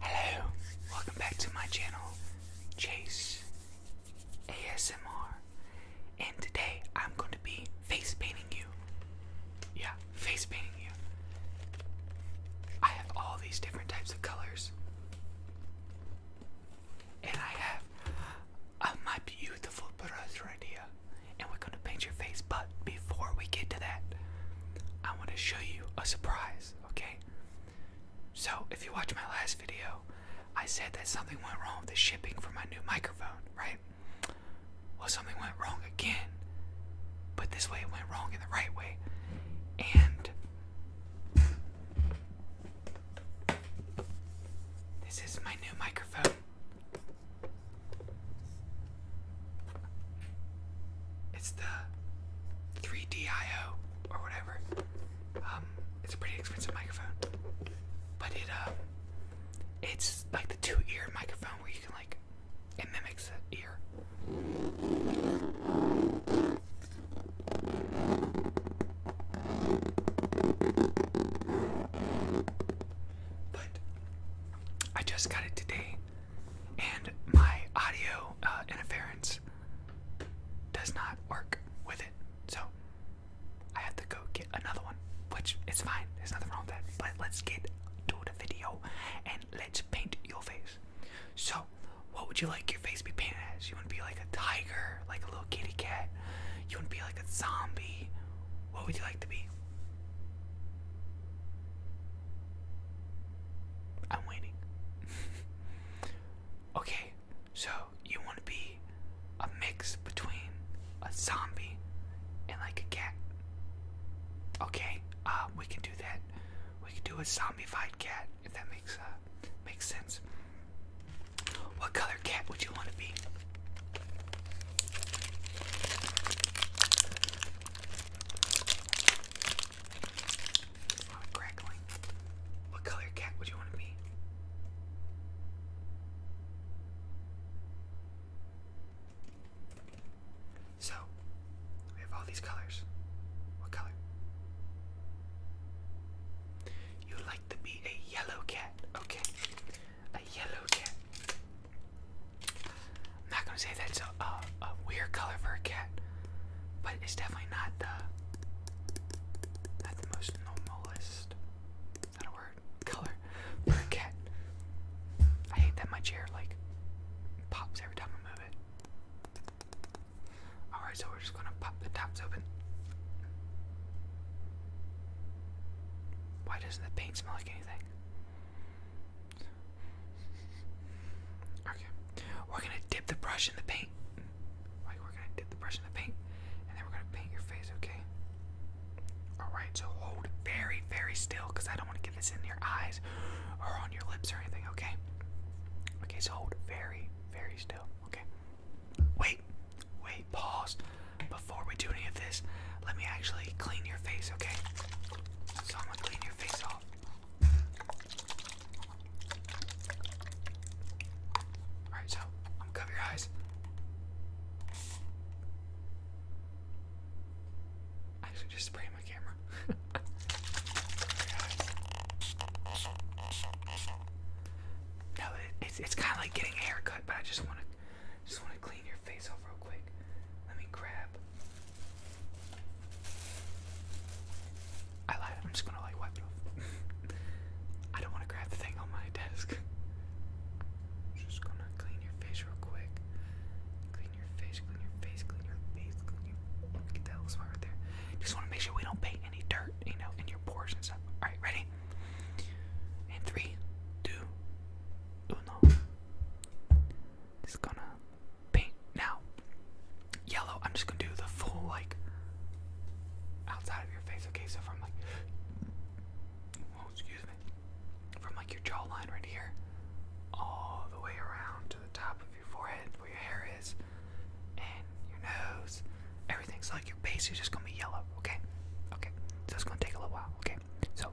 Hello, welcome back to my channel, Chase ASMR. And today I'm going to be face painting you. Yeah, face painting you. I have all these different types of colors. And I have uh, my beautiful brush right here. And we're going to paint your face, but before we get to that, I want to show you a surprise okay? So, if you watch my last video, I said that something went wrong with the shipping for my new microphone, right? Well, something went wrong again, but this way it went wrong in the right way. And this is my new microphone. It's the 3DIO or whatever. Um, it's a pretty expensive microphone, but it um, it's like the two-ear microphone where you can like it mimics the ear. But I just got it today and my audio uh, interference does not work with it. So I had to go get another one, which is fine. There's nothing wrong with that. But let's get to the video and let's paint your face. So, what would you like your face be painted as? You want to be like a tiger, like a little kitty cat? You want to be like a zombie? What would you like to be? I'm waiting. okay, so you want to be a mix between a zombie and like a cat. Okay, uh, we can do that. We can do a zombified cat if that makes uh makes sense. What color cat would you want to be? It's not crackling. What color cat would you want to be? So, we have all these colors. What color? You would like to be a yellow cat. Okay. A yellow cat. I'm not gonna say that's a, a, a weird color for a cat, but it's definitely not the not the most normalist. Is that a word? Color for a cat. I hate that my chair like pops every time I move it. Alright, so we're just gonna pop the tops open. Why doesn't the paint smell like anything? Okay. We're gonna dip the brush in the paint. Like we're gonna dip the brush in the paint, and then we're gonna paint your face, okay? Alright, so hold very, very still, because I don't want to get this in your eyes or on your lips or anything, okay? Okay, so hold very, very still, okay? Wait, wait, pause. Before we do any of this, let me actually clean your face, okay? So I'm gonna clean your face off. Alright, so I'm gonna cover your eyes. I actually just sprayed my camera. No, it's, it's kind of like getting a haircut, but I just want to just want to clean your face off real quick. Let me grab. I lied. I'm just gonna like wipe it off. I don't want to grab the thing on my desk. Just gonna clean your face real quick. Clean your face. Clean your face. Clean your face. Clean your. Get that little spot right there. Just want to make sure we don't paint any dirt, you know, in your pores and stuff. All right, ready? And three, just gonna paint now. Yellow, I'm just gonna do the full like outside of your face, okay? So from like oh, excuse me. From like your jawline right here, all the way around to the top of your forehead where your hair is, and your nose, everything's so, like your base is just gonna be yellow, okay? Okay. So it's gonna take a little while, okay? So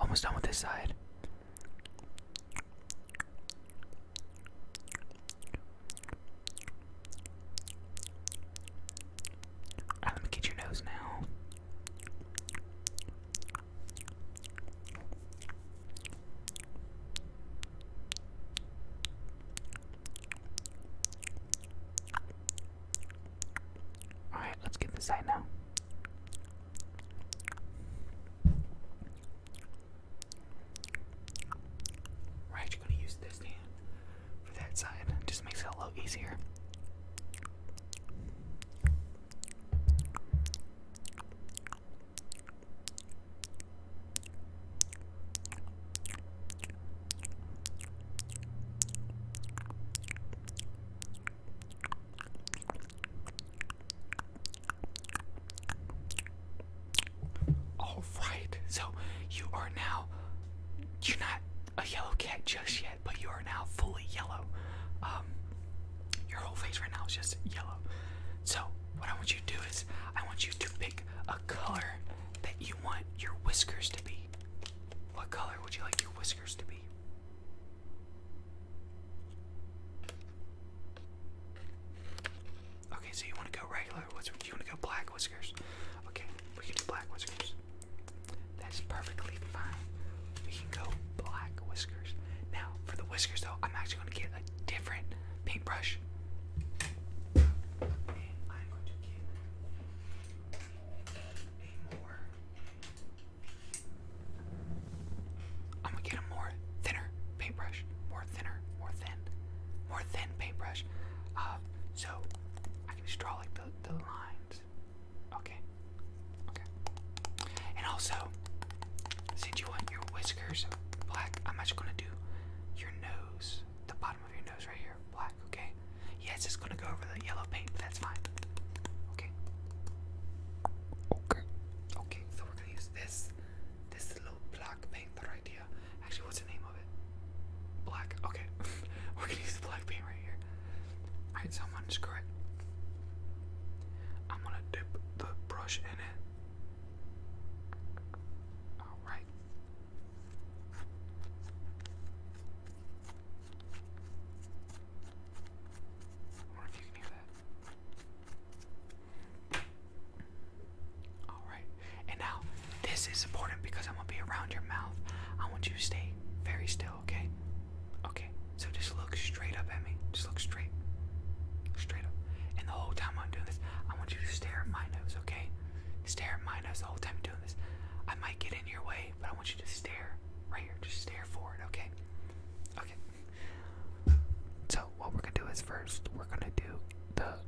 Almost done with this side. let me get your nose now. Alright, let's get this side now. We're gonna use this hand for that side. just makes it a little easier. All right. So you are now you're not a yellow cat just yet, but you are now fully yellow. Um your whole face right now is just yellow. So what I want you to do is I want you to pick a color that you want your whiskers to be. What color would you like your whiskers to be? Okay, so you want to go regular whiskers? You want to go black whiskers? Okay, we can do black whiskers. That's perfectly fine. We can go black whiskers. Now, for the whiskers though, I'm actually going to get a different paintbrush. I'm gonna get a more thinner paintbrush, more thinner, more thin, more thin paintbrush. Uh, so I can just draw like the, the lines. Okay, okay. And also, since you want your whiskers black, I'm actually gonna do your nose, the bottom of your nose right here, black okay? Yeah, it's just gonna go over the yellow paint, that's fine. Okay. Okay. Okay, so we're gonna use this this little black paint right here. Actually, what's the name of it? Black. Okay. we're gonna use the black paint right here. I'm gonna unscrew I'm gonna dip the brush in it. Alright. Alright. And now, this is important because I'm gonna be around your mouth. I want you to stay very still, okay? Okay. So just look straight up at me. Just look straight. Straight up. And the whole time I'm doing this, I want you to stare at my nose, okay? Stare at my nose the whole time I'm doing this. I might get in your way, but I want you to stare right here. Just stare forward, okay? Okay. So, what we're going to do is first, we're going to do the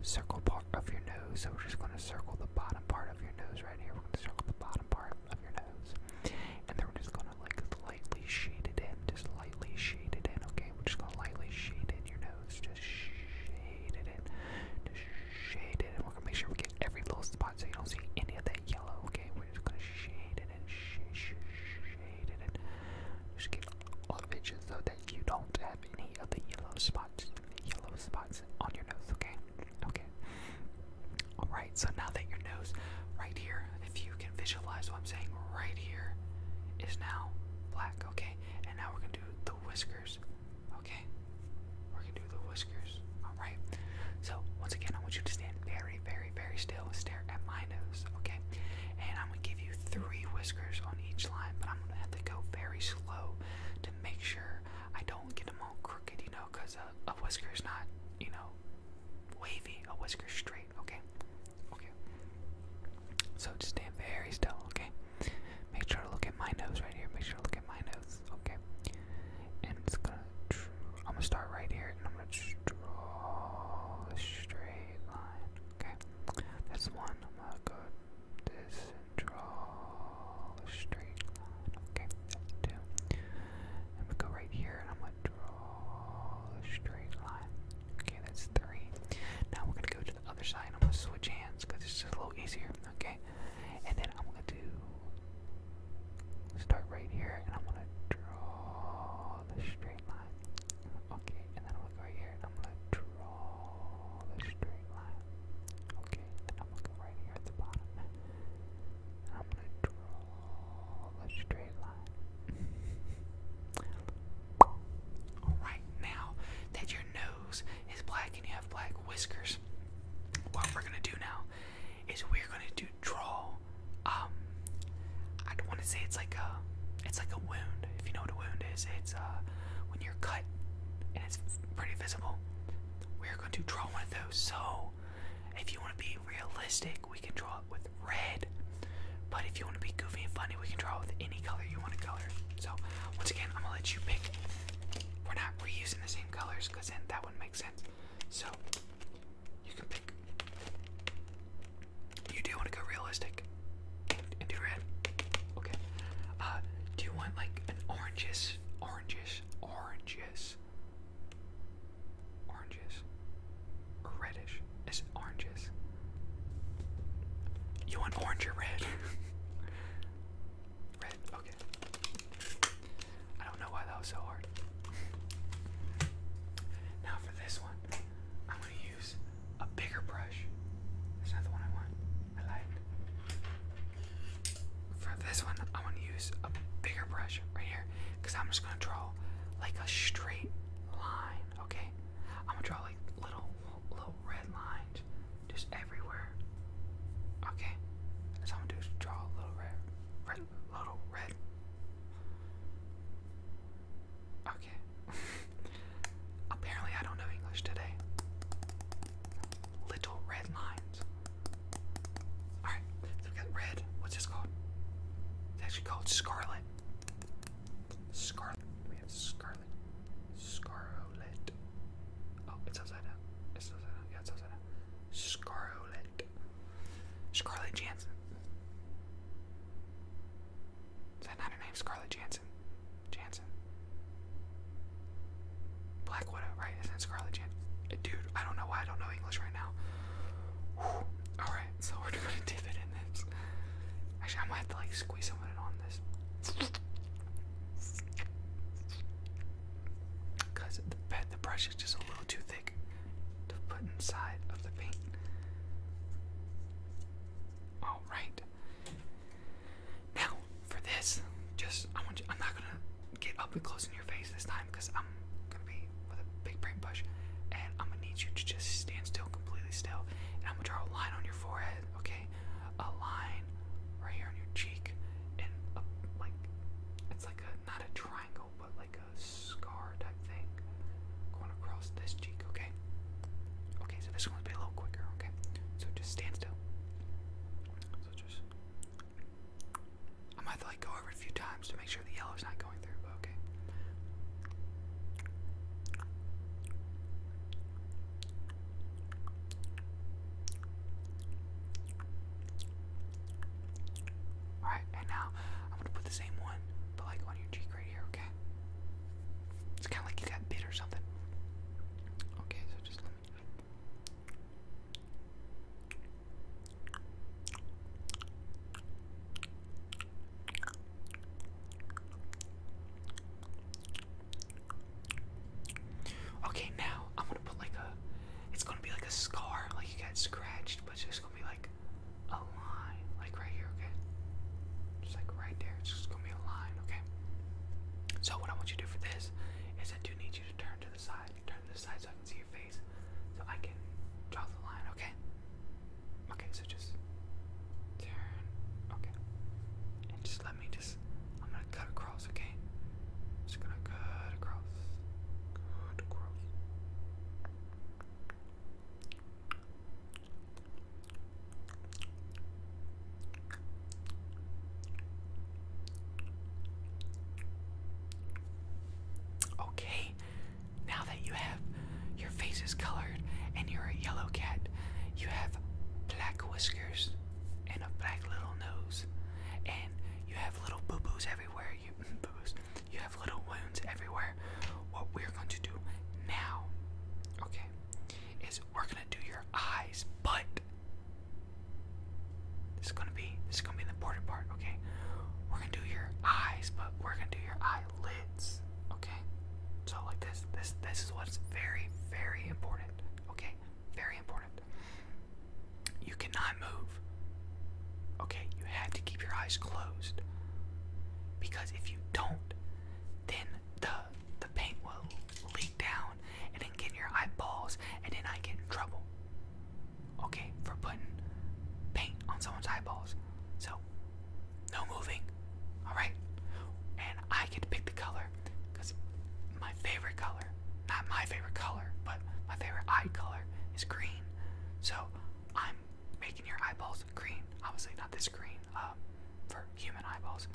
circle part of your nose. So, we're just going to circle the bottom part of your nose right here. We're going to circle the bottom part of your nose. And then we're just going to like lightly shade it in. Just lightly shade it in, okay? We're just going to lightly shade in your nose. Just shade it in. Just shaded, and we're gonna make sure we get every little spot so you don't see any of that yellow, okay? We're just gonna shade it and sh sh shade it and just get all of it just so that you don't have any of the yellow spots, yellow spots on your nose, okay? Okay. Alright, so now that your nose right here, if you can visualize what I'm saying, right here is now black, okay? And now we're gonna do the whiskers Okay, we're gonna do the whiskers. All right. So once again, I want you to stand very, very, very still and stare at my nose. Okay, and I'm gonna give you three whiskers on each line, but I'm gonna have to go very slow to make sure I don't get them all crooked. You know, cause a, whisker is not, you know, wavy. A whisker straight. Okay. Okay. So just stand very still. Okay. Make sure to look at my nose right here. Make sure to look at my nose. Okay. And I'm gonna start right here and I'm gonna draw a straight line. Okay. That's one. I'm gonna go this and draw a straight line. Okay. That's two. I'm gonna go right here and I'm gonna draw a straight line. Okay. That's three. Now we're gonna go to the other side. and I'm gonna switch hands because it's just a little easier. Okay. And then I'm gonna start right here and I'm gonna draw the straight line. Okay, and then I'm going right here and I'm gonna draw the straight line. Okay, and I'm going right here at the bottom. I'm gonna draw the straight line. Alright, now that your is black and you have black whiskers. What we're gonna do now is we're gonna do draw. Um, I don't want to say it's like a, it's like a wound. If you know what a wound is, it's uh when you're cut and it's pretty visible. We're going to draw one of those. So if you want to be realistic, we can draw it with red. But if you want to be goofy and funny, we can draw it with any color you want to color. So once again, I'm gonna let you pick we're not reusing the same colors because then that wouldn't make sense. So you can pick. You do want to go realistic and red. Okay. Uh, do you want like oranges, oranges, oranges, oranges, reddish? Is oranges? You want orange or red? Red, okay. I don't know why that was so hard. now for this one, I'm gonna use a bigger brush. That's not the one I want. I lied. For this one, I'm gonna use a bigger brush right here, because I'm just gonna draw like a straight line, okay? I'm gonna draw like little little red lines just everywhere. Okay, so I'm gonna do is draw a little red, little red. Okay. Apparently, I don't know English today. Little red lines. Alright, so we got red. What's this called? It's actually called scarlet. Scarlet. We have scarlet. Scarlet. Oh, it's upside It's upside Yeah, it's upside Scarlet. Scarlet Jansen. Is that not her name? Scarlet Jansen. Jansen. Black Widow, right? Isn't it Jansen? Uh, dude, I don't know why I don't know English right now. Alright, so we're gonna dip it in this. Actually, I might have to like squeeze some on this. Because the, the brush is just a little too thick to put inside of the paint. Alright. Now, for this, just I want you, I'm not gonna get up and close in your face this time because I'm gonna be with a big paintbrush and I'm gonna need you to just stand still, completely still, and I'm gonna draw a line on your forehead, okay? a line right here on your cheek, and a, like it's like a not a triangle, but like a scar type thing going across this cheek. Okay. Okay, so this one's be a little quicker. Okay, so just stand still. So just I might like go over a few times to make sure the yellow's not going through, okay. Alright, and now I'm gonna put the same one, but like on your cheek right here, okay? It's kinda like you got bit or something. Okay, so just let me Okay, now I'm gonna put like a. It's gonna be like a scar, like you got scratched, but it's just gonna be like a line, like right here, okay? Just like right there, it's just gonna be a line, okay? So what I want you to do for this is I do need you to turn to the side, turn to the side so I can see your face, so I can draw the line, okay? Okay, so just turn. Okay. And just let me just. I'm gonna cut across, okay? just gonna cut across. Cut across. Okay, now that you have your face is colored and you're a yellow cat, you have black whiskers and a black little nose, and you have little boo boos everywhere. You boo boos. You have little wounds everywhere. What we're going to do now, okay, is we're gonna do your eyes, but this is gonna be this is gonna be the important part, okay? We're gonna do your eyes, but we're gonna do your eyelids. Okay? So like this. This this is what's very, very important. Okay? Very important. You cannot move. Okay, you have to keep your eyes closed. Because if you don't, then the the paint will leak down and then get in your eyeballs and then I get in trouble. Okay, for putting paint on someone's eyeballs. So no moving. Alright? And I get to pick the color because my favorite color, not my favorite color, but my favorite eye color is green. So I'm making your eyeballs green. Obviously, not this green uh, for human eyeballs,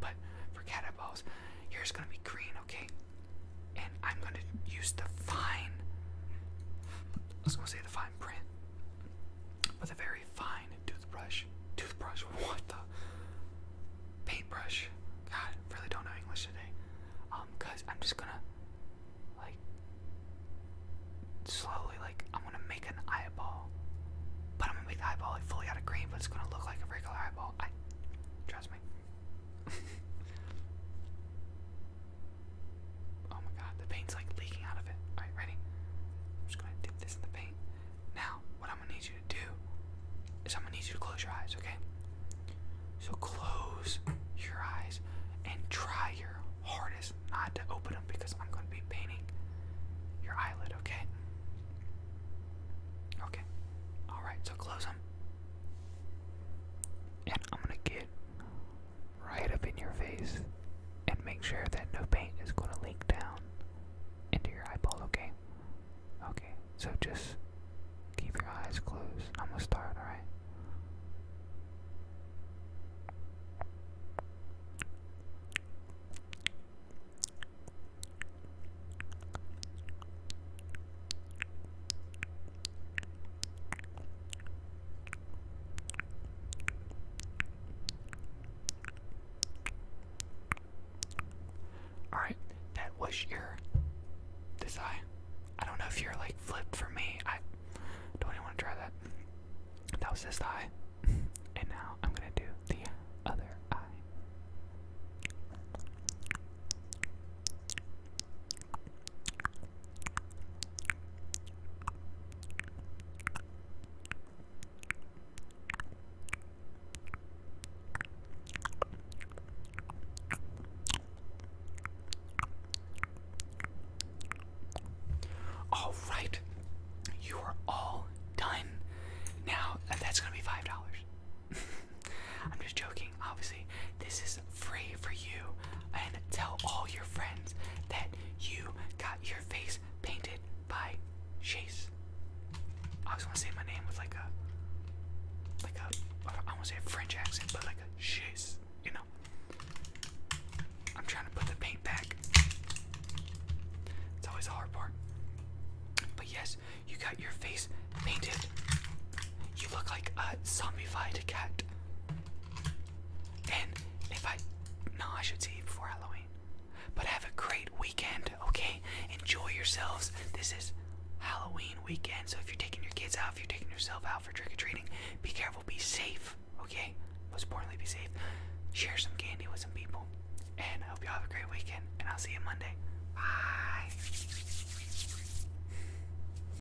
but for cat eyeballs, yours gonna be green, okay? And I'm gonna use the fine. I was going say the fine print, with a very fine toothbrush. Toothbrush? What the? Paintbrush. God, really don't know English today. Um, cause I'm just gonna, like, slowly, like, I'm gonna make an eyeball. But I'm gonna make the eyeball, like, fully out of green, but it's gonna look like a regular eyeball. trust me. Oh my god, the paint's like leaking out of it. Alright, ready? I'm just gonna dip this in the paint. Now, what I'm gonna need you to do is I'm gonna need you to close your eyes, okay? So close your eyes and try your hardest not to open them because I'm gonna be painting your eyelid, okay? Okay. Alright, so close them. And I'm gonna get right up in your face and make sure that no paint is going to leak down into your eyeball, okay? Okay, so just keep your eyes closed. I'm going to start, alright? Alright, that was your this eye. I don't know if you're like flipped for me. I don't even want to try that. That was this eye. and now I'm gonna do the other eye. All right, you are all done. Now that's gonna be five dollars. I'm just joking. Obviously, this is free for you and tell all your friends that you got your face painted by Chase. I always want to say my name with like a, like a, I want to say French accent, but like a Chase, you know. I'm trying to put the paint back. It's always a hard part. But yes, you got your face painted. You look like a zombified cat. And if I. No, I should see you before Halloween. But have a great weekend, okay? Enjoy yourselves. This is Halloween weekend, so if you're taking your kids out, if you're taking yourself out for trick or treating, be careful, be safe, okay? Most importantly, be safe. Share some candy with some people. And I hope you all have a great weekend, and I'll see you Monday. Bye.